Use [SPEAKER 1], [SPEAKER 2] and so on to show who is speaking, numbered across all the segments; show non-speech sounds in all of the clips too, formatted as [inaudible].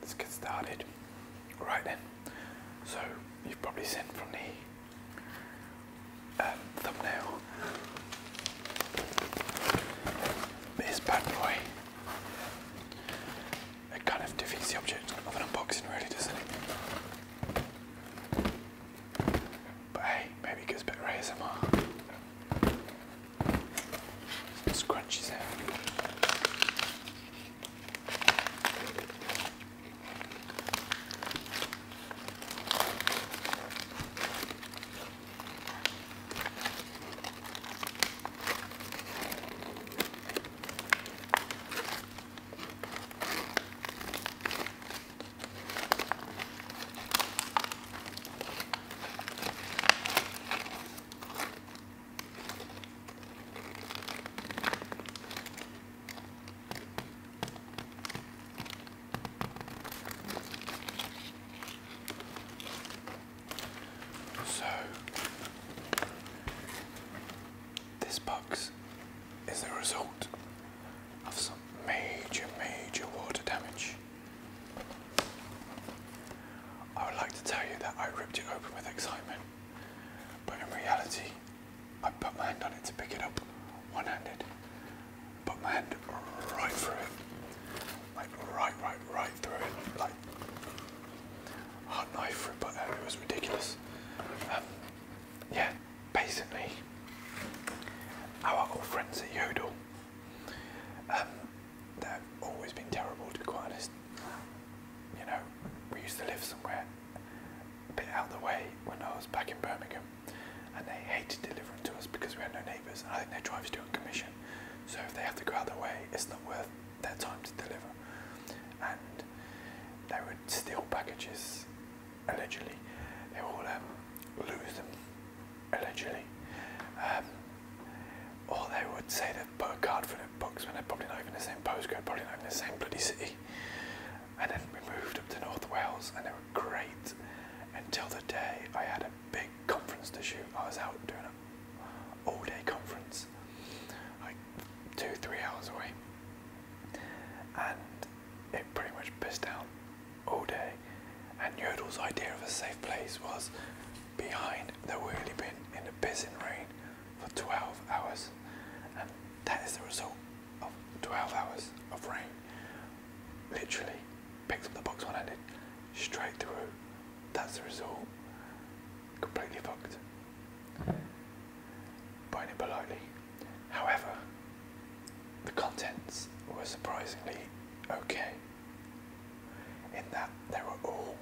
[SPEAKER 1] Let's get started. Right then, so you've probably seen from the um, thumbnail this bad boy. It kind of defeats the object of an unboxing, really, doesn't it? But hey, maybe it gets better ASMR. Some scrunchies out. So, this box is the result of some major, major water damage. I would like to tell you that I ripped it open with excitement, but in reality, I put my hand on it to pick it up one handed, put my hand right through it, like right, right, right through it, like hard knife through butter, it was ridiculous. Um, yeah, basically, our old friends at Yodel, um, they've always been terrible to be quite You know, we used to live somewhere a bit out of the way when I was back in Birmingham, and they hated delivering to us because we had no neighbours, and I think their drive us to commission. So if they have to go out of the way, it's not worth their time to deliver. And they would steal packages allegedly. They all um, lose them, allegedly. Um, or they would say they've bought a card for their books when they're probably not even in the same postcode, probably not even the same bloody city. And then we moved up to North Wales and they were great until the day I had a big conference to shoot. I was out doing an all day conference, like two, three hours away and it pretty much pissed down all day. And Yodel's idea of a safe place was behind the wheelie bin in the pissing rain for 12 hours, and that is the result of 12 hours of rain. Literally picks up the box one-handed, straight through. That's the result. Completely fucked. Buying it politely. However, the contents were surprisingly okay, in that there were all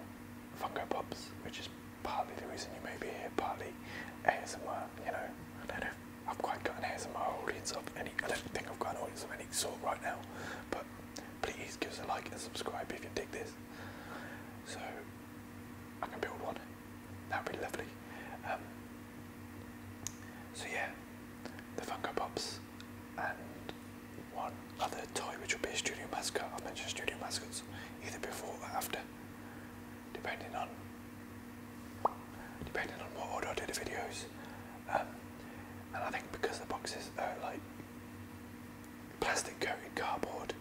[SPEAKER 1] Funko Pops, which is partly the reason you may be here, partly ASMR, you know, I don't know I've quite got ASMR audience of any, I don't think I've got an audience of any sort right now, but please give us a like and subscribe if you dig this, so I can build one That'd be lovely. Um, so yeah, the Funko Pops and one other toy which will be a studio mascot. i mentioned studio mascots either before or after, depending on depending on what order I do the videos. Um, and I think because the boxes are like plastic coated cardboard,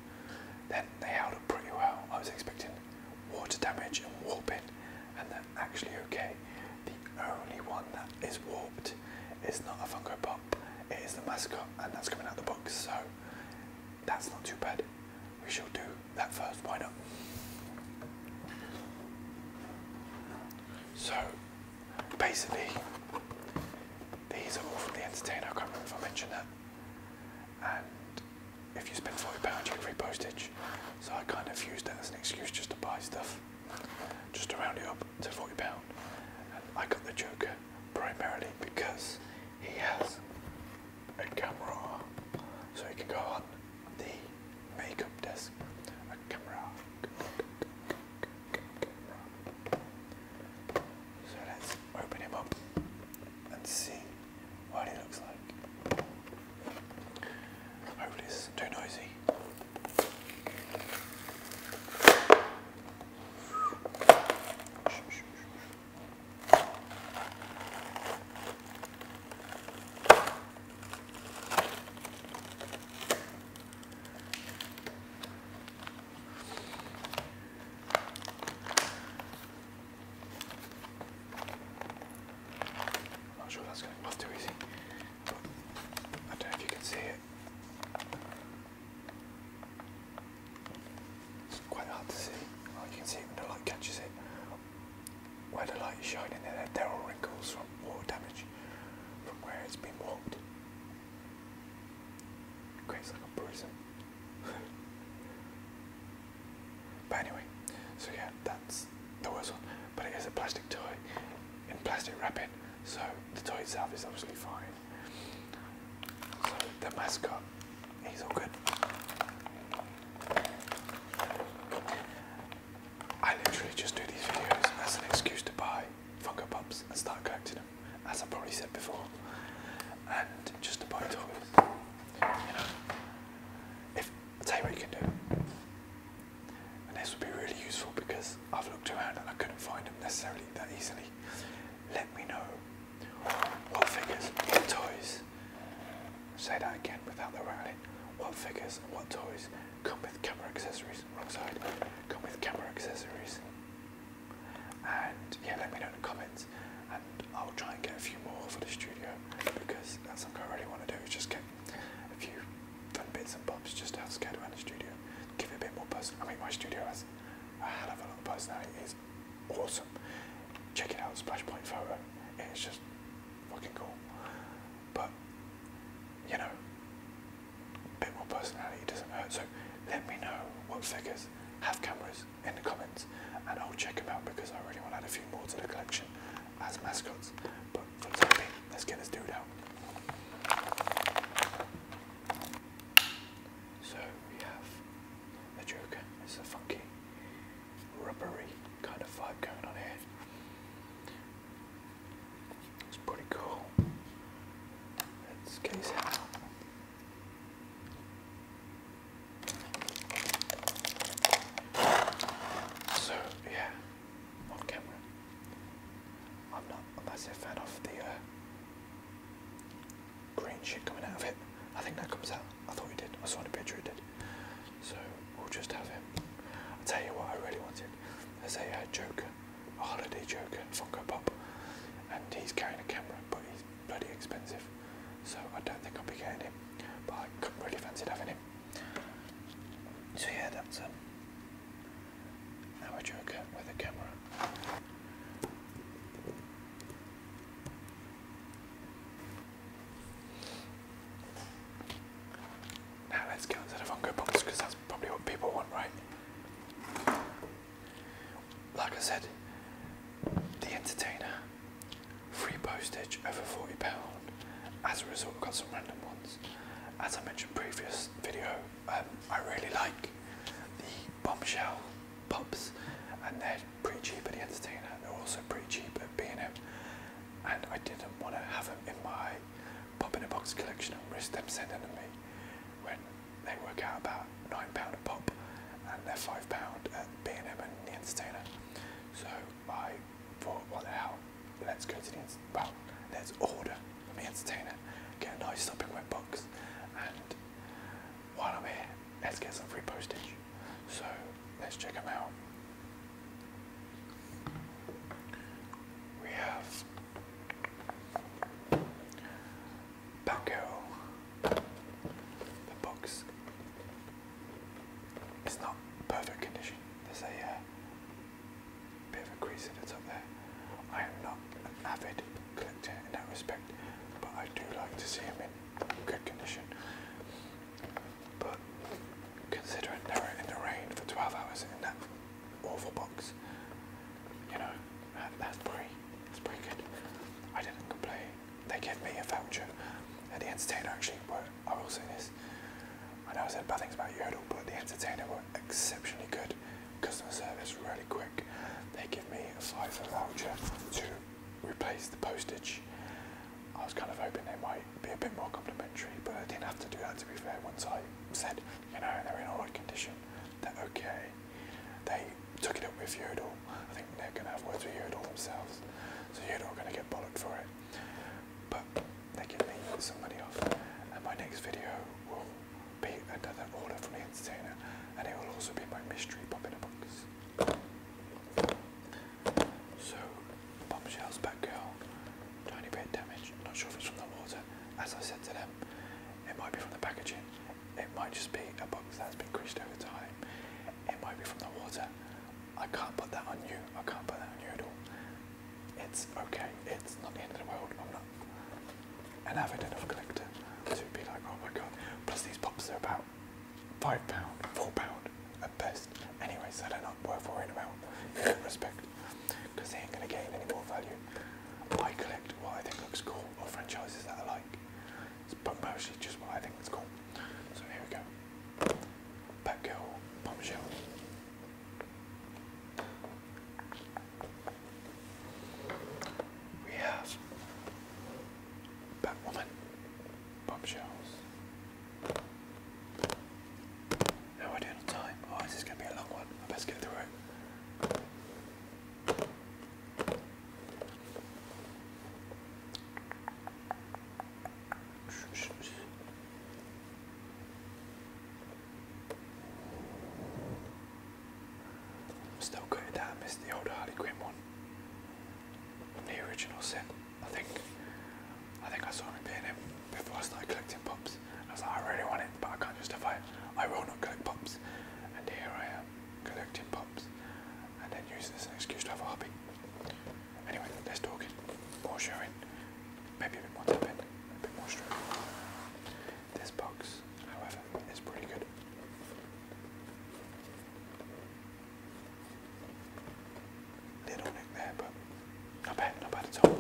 [SPEAKER 1] then they held up pretty well. I was expecting water damage and warping, and they're actually okay. The only one that is warped is not a Funko Pop, it is the mascot, and that's coming out the box, so that's not too bad. We shall do that first, why not? So, basically, these are all from the entertainer, I can't remember if I mentioned that. And if you spend £40 you get free postage. So I kind of used that as an excuse just to buy stuff, just to round it up to £40. And I got the Joker primarily because he has a camera so he can go on the makeup desk. A camera. So let's open him up and see what he looks like. too noisy. Not sure that's going to that's too easy. But I don't know if you can see it. It's quite hard to see. you can see it when the light catches it. Where the light is shining there, there are wrinkles from water damage from where it's been walked. It creates like a prison but anyway, so yeah, that's the worst one. But it is a plastic toy in plastic wrapping, so the toy itself is obviously fine. So the mascot, he's all good. I literally just do these videos as an excuse to buy Funko Pops and start collecting them, as I probably said before, and just to buy toys you know, if i tell you what you can do. And this would be really useful because I've looked around and I couldn't find them necessarily that easily. Let me know what figures, what toys, say that again without the rattling, what figures and what toys come with camera accessories, wrong side, come with camera accessories. And yeah, let me know in the comments and I'll try and get a few more for the studio because that's something I really want to do is just get a few fun bits and bobs just to have scattered around the studio, give it a bit more person. I mean my studio has a hell of a lot of personality, it's awesome. Check it out, Splash Point Photo, it's just fucking cool. But you know, a bit more personality doesn't hurt. So let me know what figures have cameras in the comments and I'll check them out because I really want to add a few more to the collection as mascots. But for the let's get this dude out. So we have the Joker. It's a funky, rubbery kind of vibe going on here. It's pretty cool. Let's case it out. So yeah, camera. I'm not a massive fan of the uh, green shit coming out of it. I think that comes out. I thought it did. I saw in a picture it did. So we'll just have him. i tell you what I really wanted. There's a uh, Joker, a holiday Joker, Funko Pop, and he's carrying a camera, but he's bloody expensive, so I don't think I'll be getting him. But I couldn't really fancy having him. So yeah, that's um, our Joker with a camera. Now let's get onto the Funko Pops because that's probably what people want, right? Like I said, the entertainer Free postage over £40. As a result, we got some random ones. As I mentioned previous video, um, I really like the bombshell pops, and they're pretty cheap at the entertainer. They're also pretty cheap at being and and I didn't want to have them in my pop in a box collection and risk them sending them me when they work out about £9 a pop and they're £5 at B&M and The Entertainer. So I thought, well now, let's go to the, well, let's order The Entertainer, get a nice stopping wet box and while I'm here, let's get some free postage. So let's check them out. We have Batgirl, the box is not perfect condition. There's a uh, bit of a crease in the top there. I am not an avid collector in that respect, but I do like to see them in good condition. But considering they were in the rain for 12 hours in that awful box, you know, that's pretty, that's pretty good. I didn't complain they give me a voucher. And the entertainer actually were, I will say this, I know I said bad things about Yodel, but the entertainer were exceptionally good. Customer service really quick. They give me a of voucher to replace the postage. I was kind of hoping they might be a bit more complimentary, but I didn't have to do that to be fair. Once I said, you know, they're in alright condition, they're okay. They took it up with Yodel I think they're gonna have words with Yodel themselves. So Yodel are going to get bollocked for it. But they can me some money off. And my next video will be another order from the entertainer. And it will also be my mystery pop in a box. So, bombshells, girl. tiny bit damage. Not sure if it's from the water. As I said to them, it might be from the packaging. It might just be a box that's been creased over time. It might be from the water. I can't put that on you. I can't put that on you at all. It's okay. It's not the end of the world. I'm not an avid enough collector to be like, oh my god. Plus these pops are about five pound, four pound at best. Anyways, so they're not worth worrying about in respect because they ain't gonna gain any more value. I collect what I think looks cool or franchises that I like but mostly just what I think it's called. So here we go. Batgirl bombshell. We have Batwoman bombshells. How are doing time? Oh, this going to be a long one. I best get through it. I'm still good at that. the old Harley Quinn one the original set. I think I think I saw him being him before I started collecting pops. I was like, I really want it, but I can't justify it. I will not collect pops. And here I am collecting pops and then use this as an excuse to have a hobby. Anyway, less talking, more sharing, maybe a bit more tapping, a bit more stroking. This box, however, is pretty good. Little nick there, but not bad, not bad at all.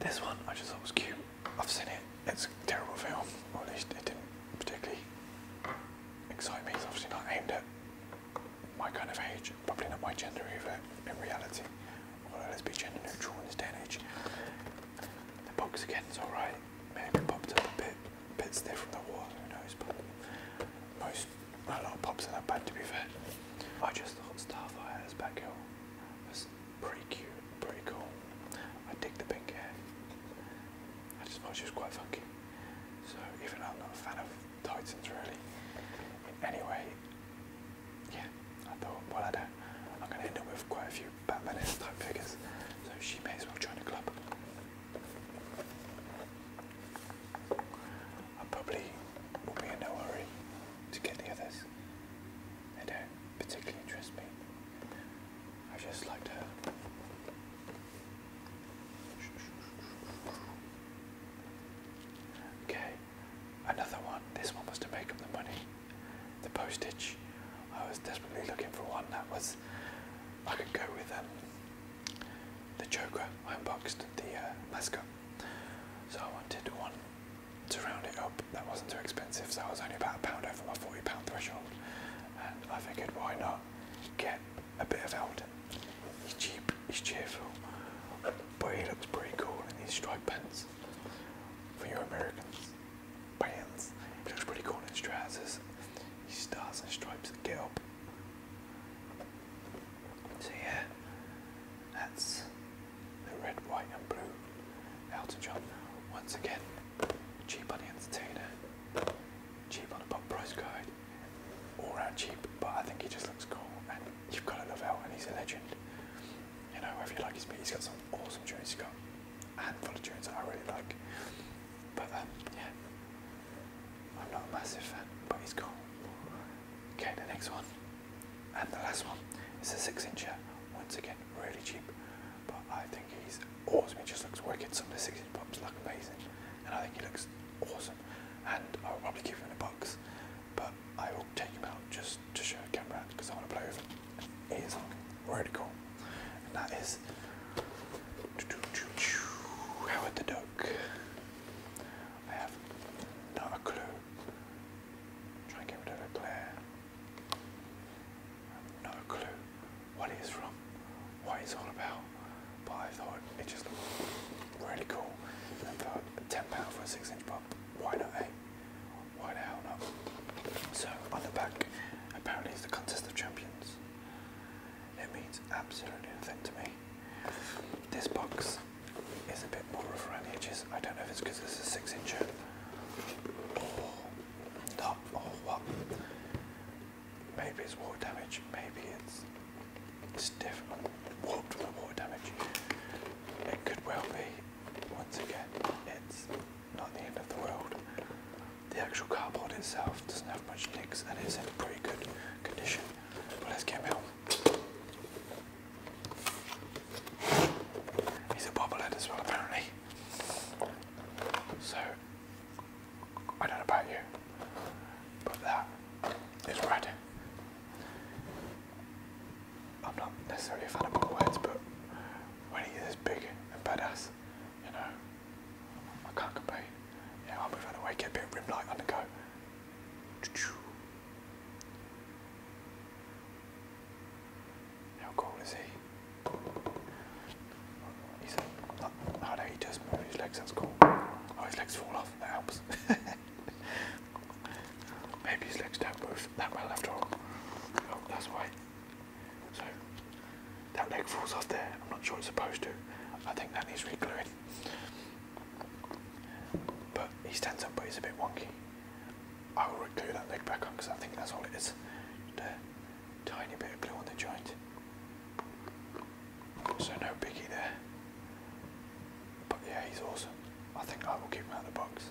[SPEAKER 1] This one I just thought was cute. I've seen it. It's a terrible film. at least it didn't particularly excite me. It's obviously not aimed at my kind of age, probably not my gender either in reality. Although let's be gender neutral in this day age. The box again is alright. Maybe popped up a bit, a bit stiff from the wall, who knows, but most, not a lot of pops in that bad to be fair. I just thought Starfire as Batgirl was Pretty cute, pretty cool. I dig the pink hair. I just thought she was quite funky. So even though I'm not a fan of Titans really, in any way, yeah, I thought, well I don't, I'm gonna end up with quite a few Batman [laughs] type figures, so she may as well join the club. I probably will be in no hurry to get the others. I don't particularly interests me. I just like to. Okay, another one. This one was to make up the money. The postage. I was desperately looking for one that was. I could go with um, the Joker. I unboxed the uh, mascot. So I wanted one to round it up, that wasn't too expensive, so I was only about a pound over my £40 threshold. And I figured, why not get a bit of Elden? He's cheap, he's cheerful, but he looks pretty cool in these striped pants. For you Americans, pants. He looks pretty cool in his trousers. He stars and stripes get up. So yeah, that's the red, white, and blue. Elton John, once again, cheap on the entertainer, cheap on the pop price guide, all round cheap, but I think he just looks cool and you've got to love Elton, he's a legend. You know, if you like his beat, he's got some awesome tunes, he's got a handful of tunes that I really like. But um, yeah, I'm not a massive fan, but he's cool. Okay, the next one. And the last one is a six incher. Once again, really cheap, but I think he's awesome. He just looks wicked. Some of the six inch pops look amazing, and I think he looks awesome. And I'll probably keep him in a box, but I will take him out just to show the camera because I want to play with him. He is really cool, and that is Howard the Duck. I have not clue. Try and get rid of the glare. No clue what it is from, what it's all about, but I thought it just looked really cool. And I thought £10 for a 6 inch pop, why not eh? Why the hell not? So on the back, apparently it's the contest of champions. It means absolutely nothing to me. This box is a bit more of a around the just I don't know if it's because it's a 6 inch or not, or what. Maybe it's water damage, maybe it's stiff water damage. It could well be, once again, it's not the end of the world. The actual cardboard itself doesn't have much nicks and it's in pretty good condition. let's get him out. He's a bobblehead as well, apparently. So, I don't know about you, but that is red. I'm not necessarily a fan of bobbleheads, but when he is big and badass, you know, I can't complain. Yeah, I'll move out the way, get a bit of rim light on the go. How cool is he? He's a, oh no, he does move his legs, that's cool. Oh, his legs fall off, that helps. [laughs] Maybe his legs don't move that well after all. Oh, that's why. So, that leg falls off there. I'm not sure it's supposed to. I think that needs re-gluing. But he stands up, but he's a bit wonky. I will glue that leg back on because I think that's all it is. a tiny bit of glue on the joint. So no biggie there. But yeah, he's awesome. I think I will keep him out of the box.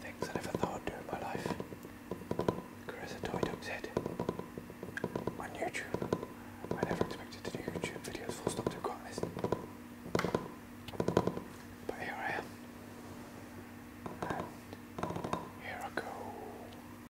[SPEAKER 1] Things I never thought I'd do in my life. Carissa Toy Dog's Head on YouTube. I never expected to do YouTube videos full stop to quite But here I am. here I go.